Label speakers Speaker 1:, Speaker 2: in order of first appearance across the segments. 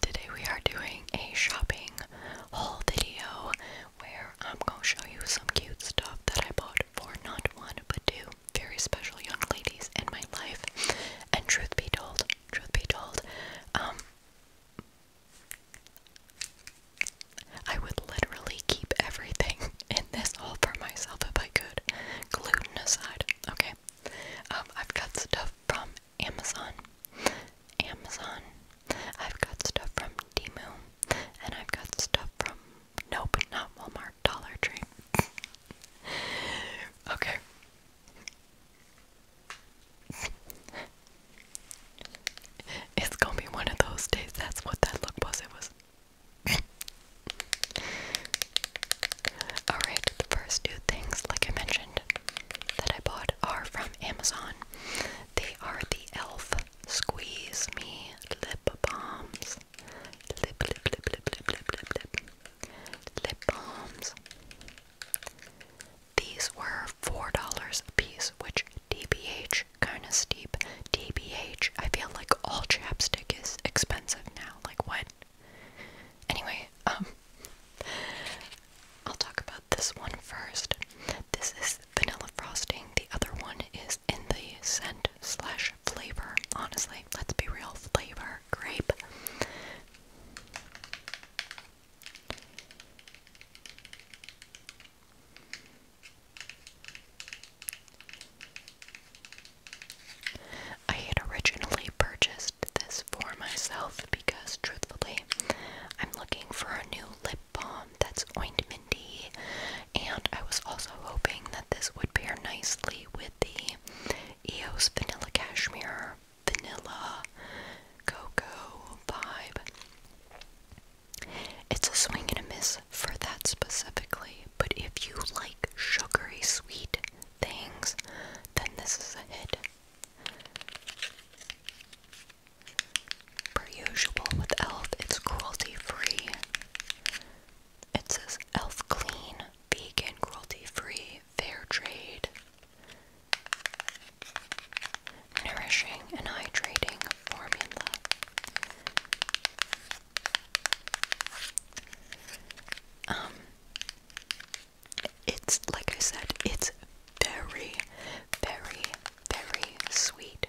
Speaker 1: Today we are doing a shopping haul video where I'm going to show you some cute stuff that I bought for not one but two very special young ladies in my life. And truth be told, truth be told, um I would literally keep everything in this haul for myself if I could, gluten aside. Okay, um, I've got stuff from Amazon. Amazon. I've got stuff from Temu, and I've got stuff from nope, not Walmart, Dollar Tree. okay. It's gonna be one of those days. That's what that look was. It was. Alright, the first two things, like I mentioned, that I bought are from Amazon. They are the e.l.f. Squeeze Me Lip Balms. Lip, lip, lip, lip, lip, lip, lip, lip. Lip balms. These were $4 a piece, which DBH, kinda steep. DBH, I feel like all chapstick is expensive now. Like, what? Anyway, um, I'll talk about this one first. This is vanilla frosting. The other one is in the scent slash flavor. Honestly, let's be real, flavor grape. I had originally purchased this for myself because, truthfully, I'm looking for a new lip balm that's ointmenty, and I was also hoping that this would pair nicely with the EOS Vanilla Cashmere Vanilla Cocoa vibe. It's a swing and a miss for that specifically, but if you like sugary sweet things, then this is a hit. Per usual with Elf, it's cruelty free. It says Elf Clean, Vegan, Cruelty Free, Fair Trade. Nourishing and hydrating formula. Um, it's like I said, it's very, very, very sweet.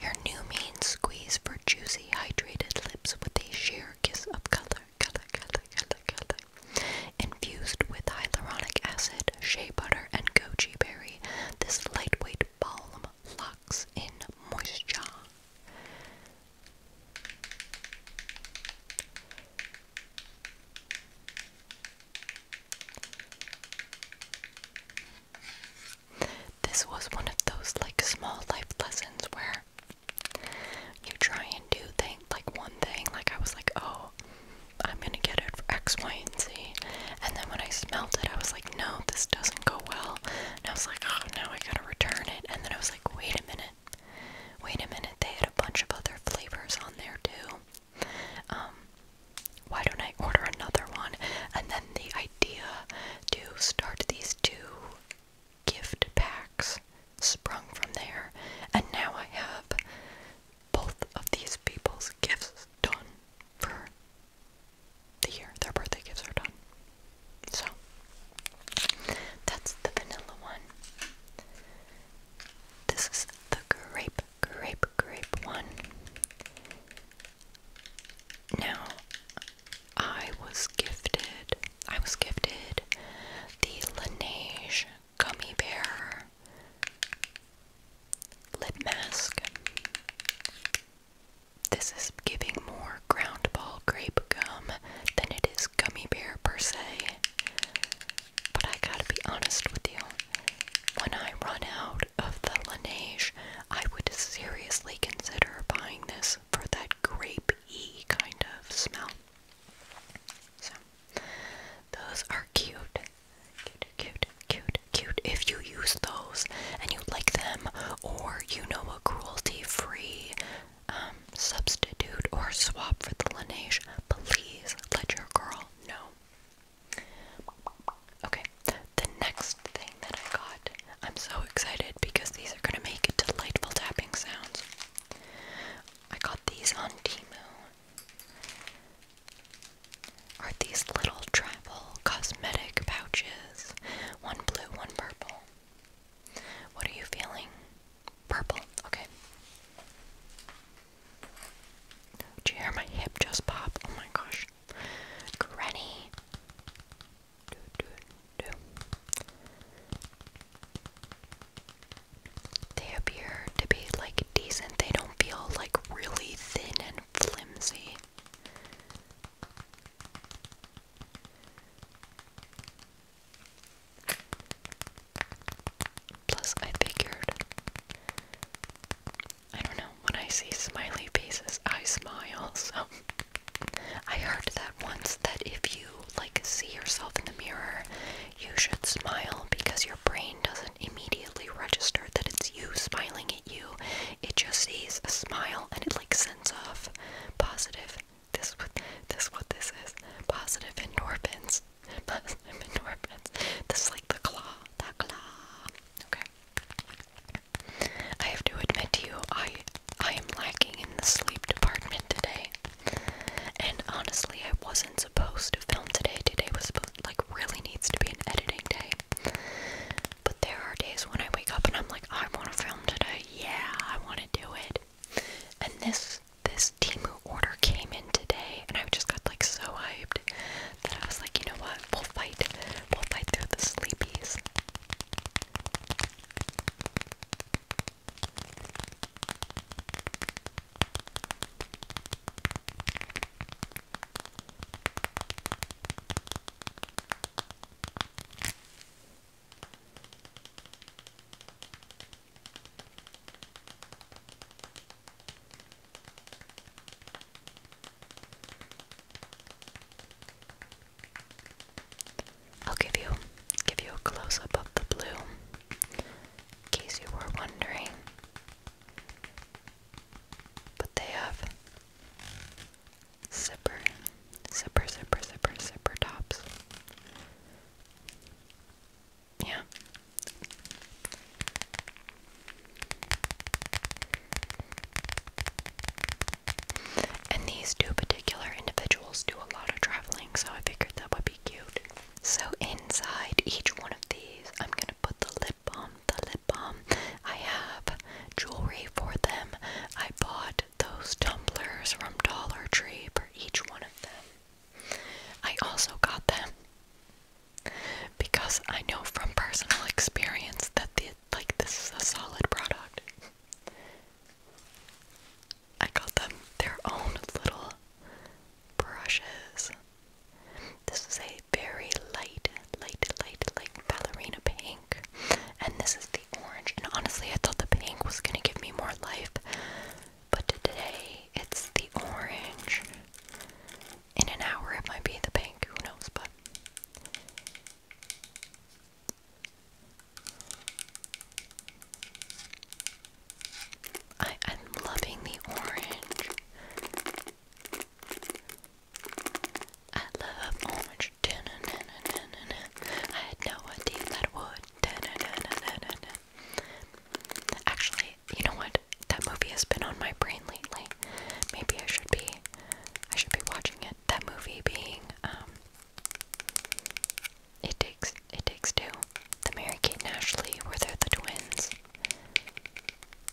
Speaker 1: Your new mean squeeze for juicy, hydrated lips with a sheer kiss of color, color, color, color, color. Infused with hyaluronic acid, shea butter, and goji berry, this lightweight balm locks in moisture. This was one of those like small life lessons where you try and do things like one thing, like I was like, oh, I'm gonna get it for X, Y, and Z. And then when I smelled it, I was like, no, this doesn't go well. And I was like, oh, now I gotta return it. And then I was like, wait a minute. Wait a minute, they had a bunch of other flavors on there too. Um, why don't I order another one? And then the idea to start these two gift packs sprung from there. And now I have both of these people's gifts done for the year their birthday gifts are done. So that's the vanilla one. This is the grape, grape, grape one. Now, I was gifted, I was gifted the Laneige Gummy Bear Lip Mask. This is giving more ground ball grape gum than it is gummy bear per se. But I gotta be honest with you. When I run out of the lineage, I would seriously consider buying this for that grapey kind of smell. So, those are cute. Cute, cute, cute, cute. If you use those and you like them, or you know a cruelty-free um, substitute or swap for the Laneige, please let your girl know. Okay, the next thing that I got, I'm so excited because these are gonna make delightful tapping sounds. I got these on Timu are these little travel cosmetic pouches. One blue, one purple. What are you feeling? Purple. Okay. Do you hear my hip just pop? Oh my gosh. Granny. They appear to be like decent. They don't feel like really thin and and flimsy. Plus, I figured, I don't know, when I see smiley faces, I smile, so I heard that once that if you like see yourself in the mirror, you should smile because your brain doesn't doesn't immediately register that it's you smiling at you. It just sees a smile and it like sends off positive. This this what this is. Positive endorphins. Positive endorphins. This is like the claw. The claw. Okay. I have to admit to you, I I am lacking in the sleep department today. And honestly, I wasn't wasn't supposed to film today. Today was like really needs to be an editing day. But there are days when I wake up and I'm like, I want to film today. Yeah, I want to do it. And this this Timu order came in today, and I just got like so hyped that I was like, you know what? We'll fight. We'll fight through the sleepies. I'll give you give you a close up of the blue in case you were wondering. But they have zipper, zipper, zipper, zipper, zipper tops. Yeah. And these two particular individuals do a lot of traveling, so I figured that would be cute. So inside each one of these, I'm gonna put the lip balm. The lip balm. I have jewelry for them. I bought those tumblers from Dollar Tree for each one of them. I also got them because I know from personal experience that the like this is a solid product. I got them their own little brushes. This is a very light, light, light, light ballerina pink. And this is the orange. And honestly, I thought the pink was going to give me more life. But today, it's the orange. In an hour, it might be the pink. Who knows? But. I, I'm loving the orange. I love orange. I had no idea that would. Actually, you know what? That movie has been on my brain lately. Maybe I should be. I should be watching it. That movie being um, it takes it takes two. The Mary Kate and Ashley were there the twins.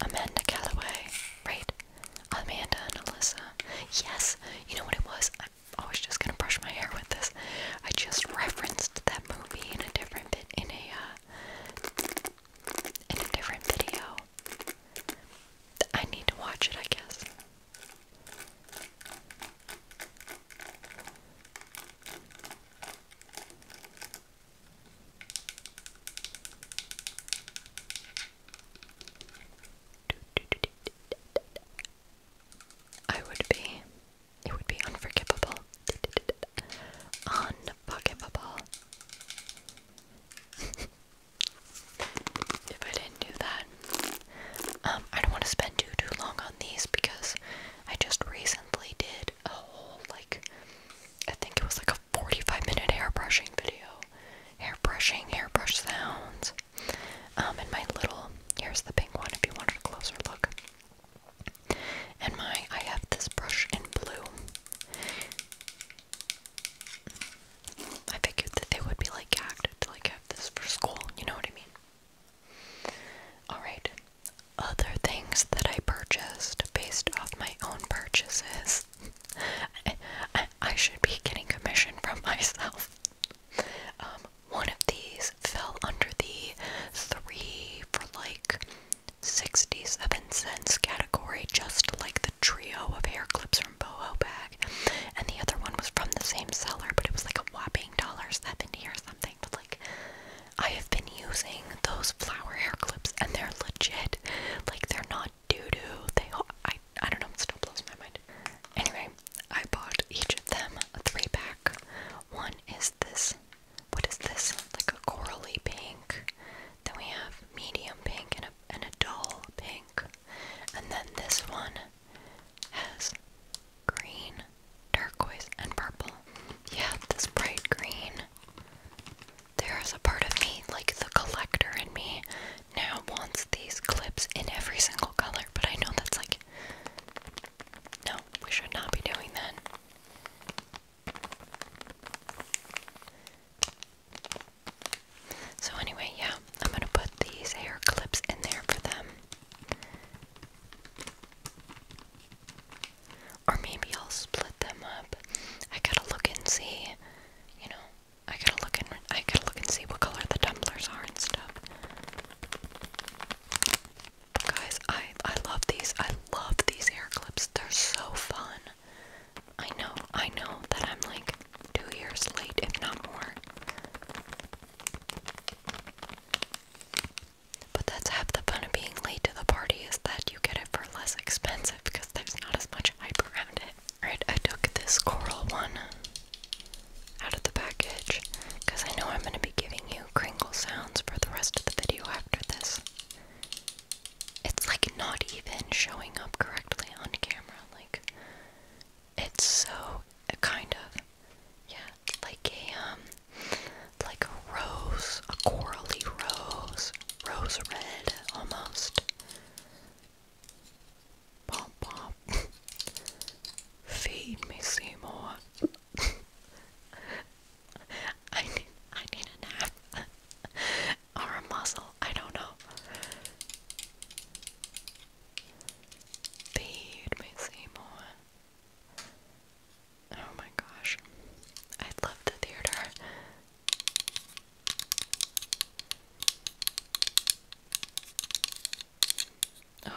Speaker 1: Amanda Calloway, right? Amanda and Alyssa. Yes, you know what it was? I'm always just gonna brush my hair with this. I just referenced that movie in a different bit in a uh, in a different video. I need to watch it, I guess. I would be, it would be unforgivable. Unforgivable. if I didn't do that, um, I don't want to spend too too long on these because I just recently did a whole like I think it was like a 45 minute airbrushing video. Airbrushing, airbrush sounds. Um and my little here's the pink one if you wanted a closer look. And my I have this brush in blue. I figured that they would be like gagged to like have this for school, you know what I mean? Alright, other things that I purchased based off my own purchases. I, should be getting commission from myself. Um, one of these fell under the three for like 67 cents category, just like the trio of hair clips from Boho Bag. And the other one was from the same seller, but it was like a whopping dollar seventy or something, but like I have been using those flower hair clips and they're legit. Like they're not doo-doo. They I I don't know, it still blows my mind. Anyway, I bought each of them a three-pack. One is this what is this? Like a corally pink. Then we have medium pink and a and a dull pink. And then this one has green, turquoise, and purple. Yeah, this bright green. There is a part of me, like the collector in me, now wants these clips in every single color, but I know that's like. No, we should not be doing that. So, anyway, yeah, I'm gonna put these hair clips in there for them. Or maybe I'll split them up. I gotta look and see, you know. I gotta look and I gotta look and see what color the tumblers are and stuff. guys, I I love these. I love these hair clips. They're so fun. I know, I know that I'm like two years late, if not more. But that's half the fun of being late to the party is that you get it for less expensive because there's not as much hype around it. Alright, I took this coral one out of the package because I know I'm going to be giving you crinkle sounds for the rest of the video after this. It's like not even showing up correctly on camera. Like, it's so kind of yeah, like a um like a rose, a corally rose, rose red almost. Pop pop. Feed me Seymour. I need I need a nap. or a muzzle, I don't know. Fade by Seymour. Oh my gosh. I love the theater. Oh,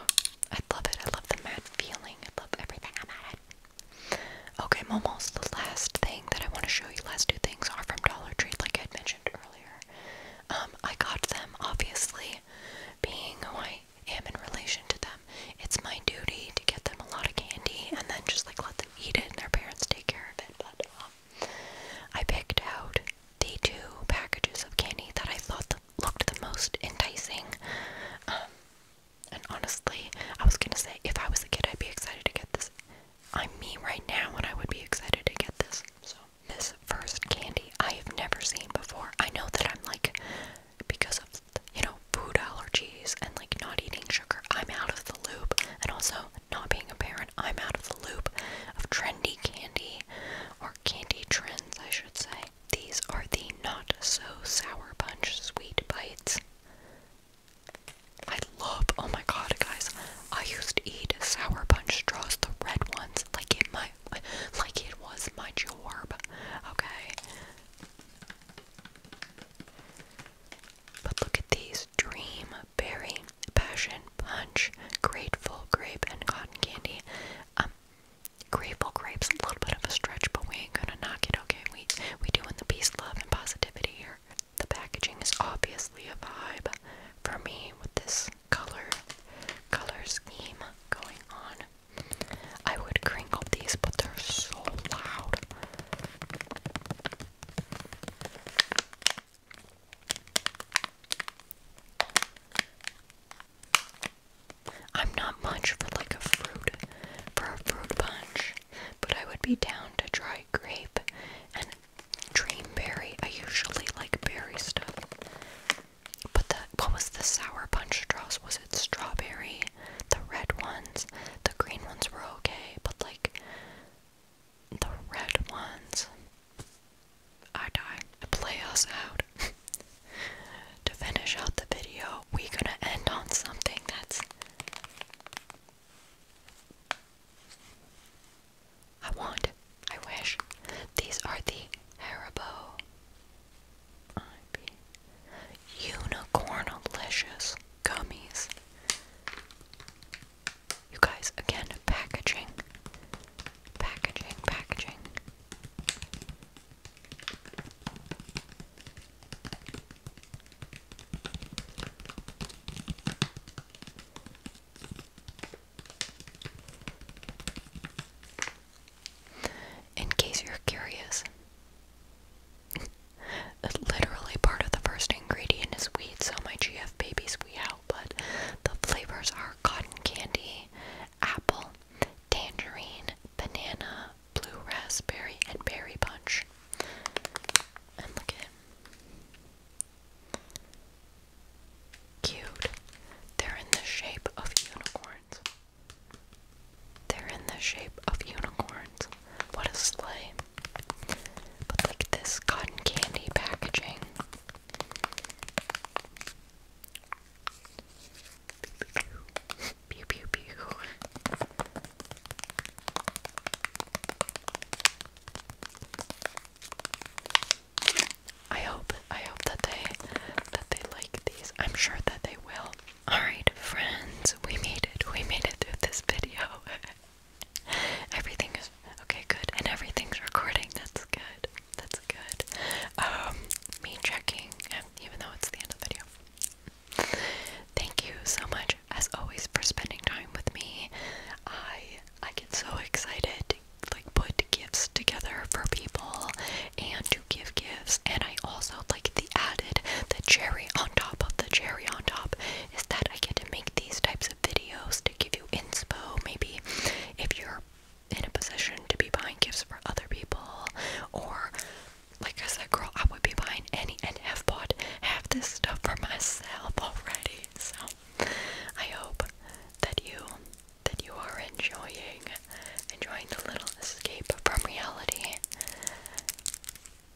Speaker 1: I love it. I love the mad feeling. I love everything about it. Okay, almost the last thing that I want to show you. Last two things are from Dollar Tree, like I had mentioned earlier. Um, I got them, obviously, being who I am in relation to them. It's my duty to get them a lot of candy and then just like let them eat it and their parents take care of it. But um, I picked out the two packages of candy that I thought the, looked the most enticing. Um, and honestly, I was gonna say if I was a kid, I'd be excited to get this. I'm me right now, and I would be excited to get this. So this first candy I have never seen before. I know that I'm like, because of, you know, food allergies and like not eating sugar, I'm out of the loop. And also, not being a parent, I'm out of the loop of trendy candy or candy trends, I should say. These are the Not So Sour Punch Sweet Bites. I love, oh my god, guys, I used to eat sour punch straws, the red ones, like it my like it was my jorb. Okay. But look at these dream, berry, passion, punch, grateful grape, and cotton candy. Um grateful grapes a little bit of a stretch, but we ain't gonna knock it, okay? We we doing the peace, love, and positivity here. The packaging is obviously a vibe for me with this color color scheme going on. I would crinkle these, but they're so loud. I'm not much for like a fruit for a fruit punch, but I would be down to try grape and Dream berry. I usually like berry stuff. But the what was the sour punch straws? Was it strawberry? The red ones. The green ones were okay, but like the red ones. I die. Play us out. to finish out the video, we gonna end on something that's I want, I wish. These are the Haribo IP Gummies. You guys, again, packaging. Packaging, packaging. In case you're curious, literally part of the first ingredient is wheat, so my GF babies we out, but the flavors are cotton candy, apple, tangerine, banana, blue raspberry, and berry punch. And look at it. Cute. They're in the shape of unicorns. They're in the shape of unicorns. What a sleigh. But like this cotton candy packaging. Pew pew pew. I hope I hope that they that they like these. I'm sure that they will. Alright friends, we made it. We made it through this video. everything is okay, good. And everything's recording. That's good. That's good. Um me checking, even though it's the end of the video. Thank you so much as always for spending time with me. I I get so excited to like put gifts together for people and to give gifts and I also like the added the cherry on top of the cherry on top is that I get to make these types of videos to give you inspo maybe if you're in a position to be buying gifts for other people or like I said, girl, I would be buying any and every bought half this stuff for myself already. So I hope that you that you are enjoying enjoying the little escape from reality.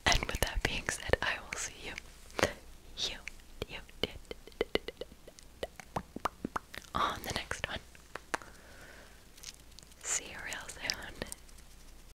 Speaker 1: And with that being said, I will see you. You you on the next one. See you real soon.